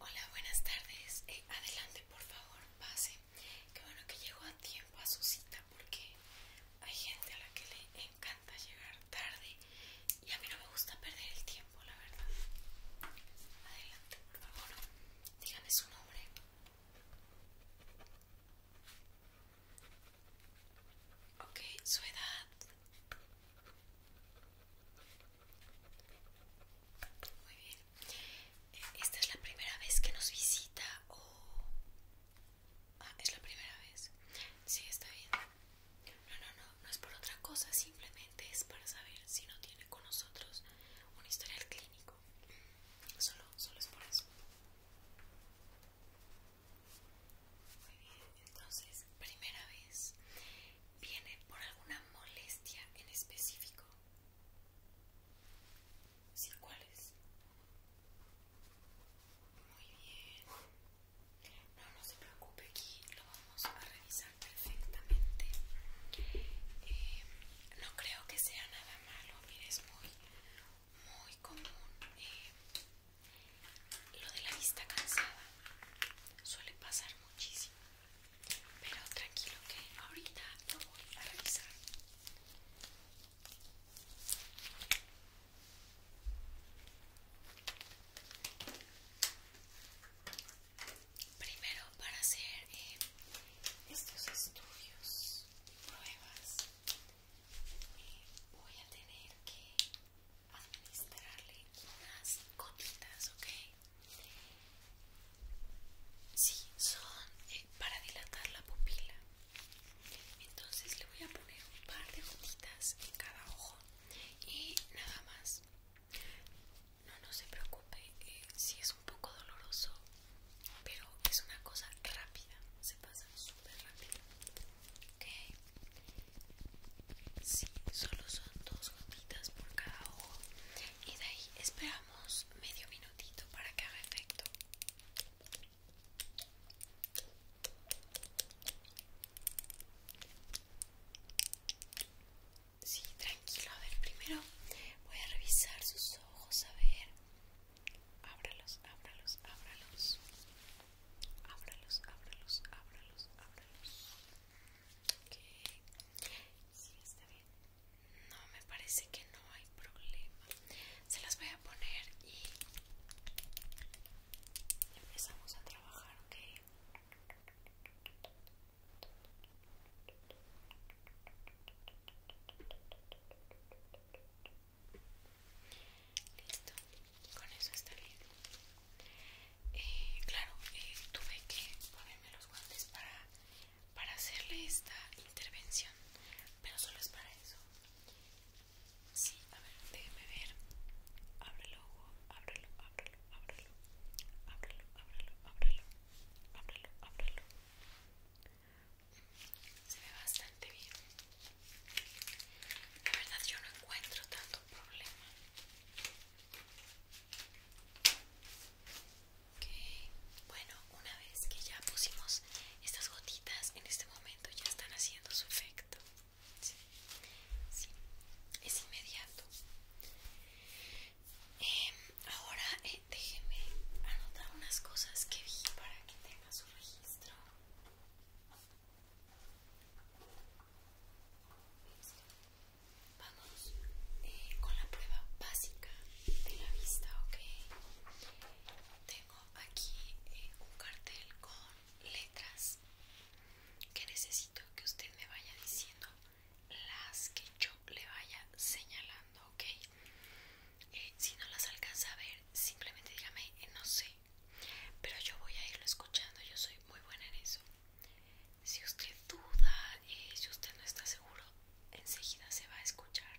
Hola, buenas tardes. Eh, adelante, por favor, pase. Qué bueno que llegó a tiempo a su cita porque hay gente a la que le encanta llegar tarde y a mí no me gusta perder el tiempo, la verdad. Adelante, por favor. díganme su nombre. Ok, su edad. Muy bien. Eh, ¿Esta es la primera vez que nos visita o...? Ah, es la primera vez. Sí, está bien. No, no, no, no es por otra cosa, simplemente es para saber si no tiene con nosotros un historial clínico. Solo, solo es por eso. Muy bien, entonces, primera vez. ¿Viene por alguna molestia en específico? Sí, ¿cuál es? Muy bien. No, no se preocupe, aquí lo vamos a revisar perfectamente. Eh, no creo que sea nada malo, mire, es muy, muy común. Eh, lo de la vista cansada suele pasar muchísimo, pero tranquilo que ahorita lo voy a revisar. Primero para hacer eh, estos estudios, pruebas, eh, voy a tener que administrarle unas gotitas, ¿ok? Sí, son eh, para dilatar la pupila. Entonces le voy a poner un par de gotitas en cada ojo y nada más. No, no se preocupe eh, si es un poco doloroso, pero es una cosa rápida, se pasa súper rápido. Ok, Sí, solo son dos gotitas por cada ojo. Y de ahí esperamos medio minutito para que haga efecto. Sí, tranquilo. A ver, primero voy a revisar sus ojos. A ver, ábralos, ábralos, ábralos ábralos, ábralos, ábralos, ábralos. Que Sí, está bien. No, me parece que no hay problema. Se las voy a poner y empezamos a trabajar, ¿ok? Listo, con eso está bien. Eh, claro, eh, tuve que ponerme los guantes para, para hacerle esta intervención, pero solo es para eso. Sí, a ver, déjeme ver. Ábrelo, ábrelo, ábrelo, ábrelo. Ábrelo, ábrelo, ábrelo. Ábrelo, ábrelo. Se ve bastante bien. La verdad yo no encuentro tanto problema. Bueno, una vez que ya pusimos estas gotitas, en este momento ya están haciendo su efecto. es inmediato. Em, ahora eh, déjeme anotar unas cosas que vi para que tenga su registro. Vamos eh, con la prueba básica de la vista, ¿ok? Tengo aquí eh, un cartel con letras que necesito que usted me vaya diciendo las que yo le vaya señalando, ¿ok? Eh, si no las alcanza a ver, simplemente dígame, no sé, pero yo voy a irlo escuchando, yo soy muy buena en eso. Si usted duda, y eh, si usted no está seguro, enseguida se va a escuchar.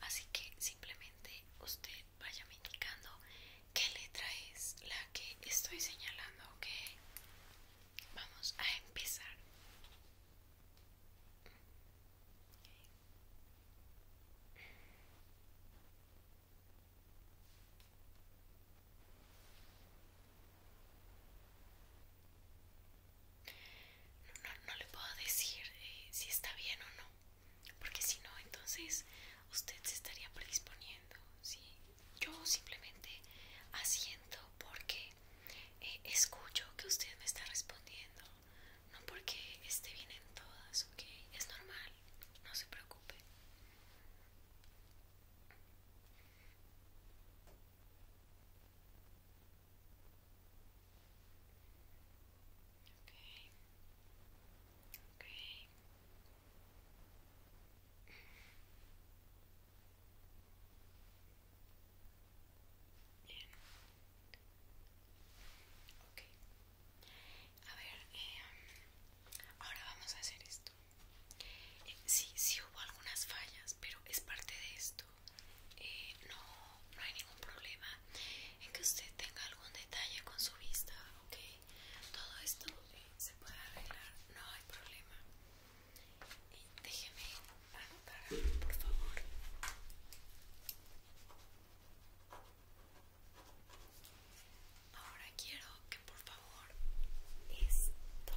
Así que simplemente usted vaya me indicando qué letra es la que estoy señalando, ¿ok? Vamos a empezar. No, no, le puedo decir eh, si está bien o no, porque si no, entonces usted se estaría predisponiendo. Yo simplemente asiento porque eh, escucho que usted me está respondiendo, no porque esté bien en todas, ¿ok? Es normal no se preocupe. Okay. Okay. Bien. Okay. A ver, em, ahora vamos a hacer esto. Eh, sí, sí hubo algunas fallas, pero es parte de esto. Eh, no, no hay ningún problema en que usted tenga algún detalle con su vista, ¿ok? Todo esto eh, se puede arreglar, no hay problema. déjeme por favor. Ahora quiero que por favor esto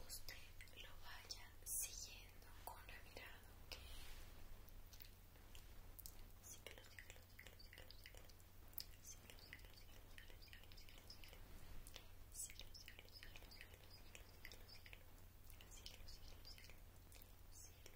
usted lo vaya siguiendo con la mirada,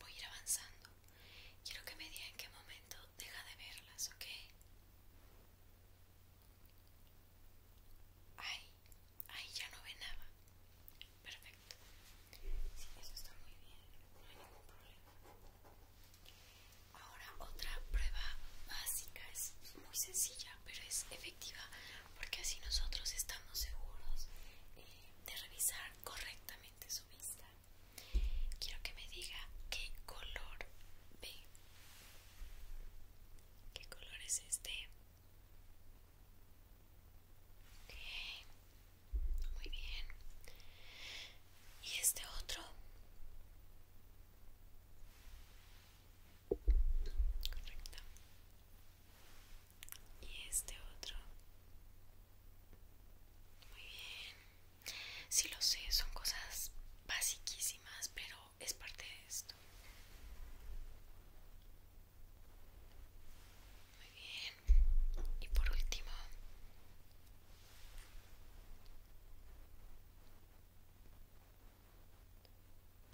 voy a ir avanzando. Quiero que me diga en qué momento deja de verlas, ¿ok? Ahí, ahí ya no ve nada. Perfecto. Sí, eso está muy bien, no hay ningún problema. Ahora otra prueba básica, es muy sencilla, pero es efectiva porque así nosotros estamos seguros eh, de revisar correctamente su vista. Quiero que me diga qué color ve. ¿Qué color es este? Muy bien. ¿Y este otro? Correcto. ¿Y este otro? Muy bien. Sí lo sé, son cosas basiquísimas, pero es parte de esto. Muy bien. Y por último.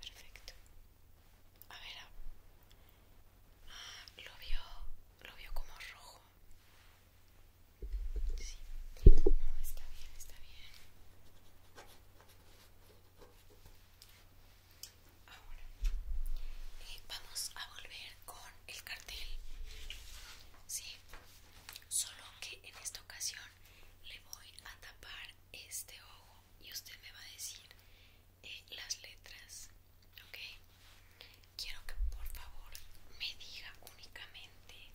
Perfecto. A ver. Ah, lo vio, lo vio como rojo está bien, está bien. vamos a volver con el cartel. solo que en esta ocasión le voy a tapar este ojo y usted me va a decir eh, las letras. ¿Ok? quiero que por favor me diga únicamente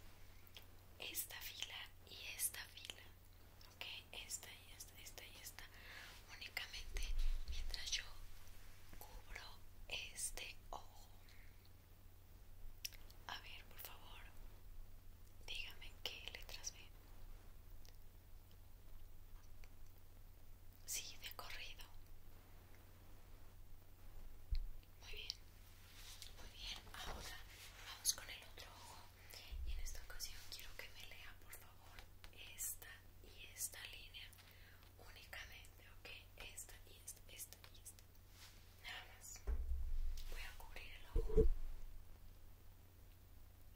esta fila y esta fila, ok, esta y esta, esta y esta, únicamente mientras yo cubro este ojo. A ver, por favor, dígame qué letras ve. Sí, de corrido. Muy bien, muy bien. Ahora vamos con el otro ojo. Y en esta ocasión quiero que me lea, por favor, esta y esta línea únicamente, ¿ok? Esta y esta, esta y esta. Nada más. Voy a cubrir el ojo.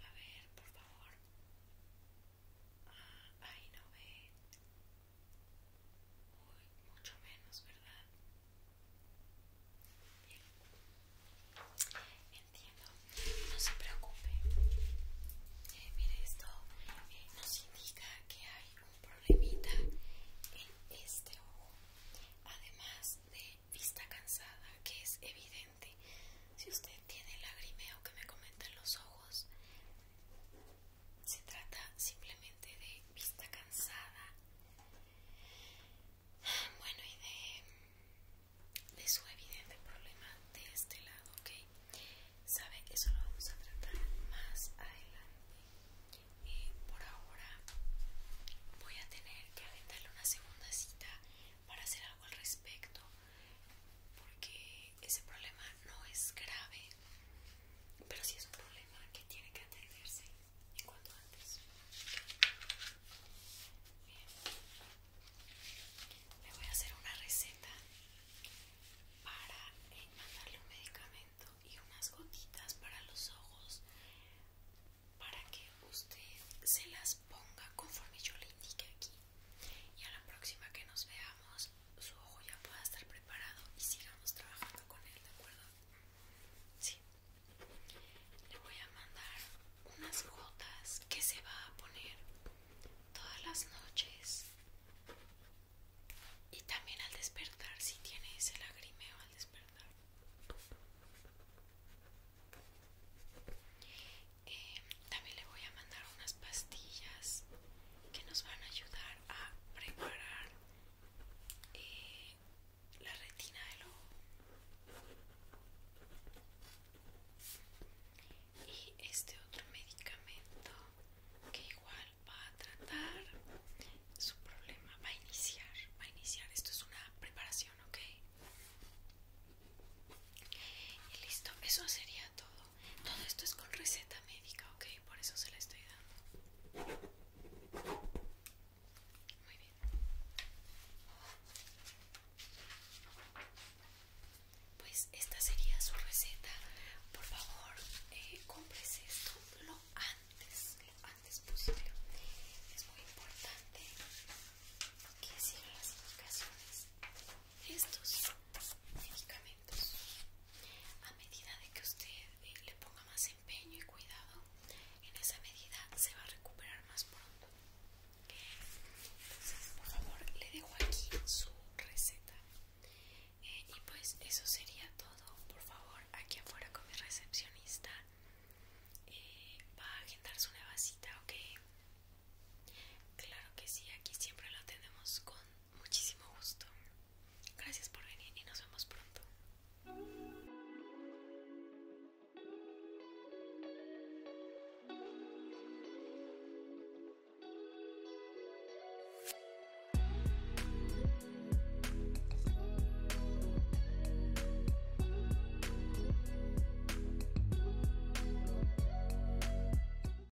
A ver, por favor ahí no ve. mucho menos, ¿verdad? Bien. Entiendo. No se preocupe. Eh, mire, esto eh, nos indica que hay un problemita en este ojo. Además de vista cansada, que es evidente. Si usted tiene lagrimeo que me comenten los ojos, se trata simplemente de vista cansada bueno y de, su evidente problema de este lado ok sabe eso lo vamos a tratar más adelante eh, por ahora voy a tener que aventarle una segunda cita para hacer algo al respecto porque ese problema no es grave, pero sí es un problema que tiene que atenderse en cuanto antes. Le voy a hacer una receta para eh, mandarle un medicamento y unas gotitas para los ojos para que usted se las ponga conforme yo le indique aquí y a la próxima que nos veamos su ojo ya pueda estar preparado y sigamos trabajando con él, ¿de acuerdo? Sí. Le voy a mandar unas gotas que se va a poner todas las noches y también al despertar si tiene ese lagrimeo al despertar. Eh, también le voy a mandar unas pastillas que nos van a ayudar a preparar eh, la retina del ojo. Y este otro medicamento que igual va a tratar su problema, va a iniciar, va a iniciar. Esto es una preparación, ¿ok? Y listo, eso sería todo. Todo esto es con receta médica, ok, por eso se la estoy dando. Muy bien. Pues esta sería su receta. Por favor, eh, compres esto lo antes, lo antes posible. Es muy importante que sigan las indicaciones estos medicamentos a medida de que usted eh, le ponga más empeño y cuidado en esa medida se va a recuperar más pronto por favor le dejo aquí su receta eh, y pues eso sería todo por favor aquí afuera con mi recepcionista eh, va a agendarse una vasita ok claro que sí aquí siempre lo tenemos con muchísimo gusto. Gracias por venir y nos vemos pronto.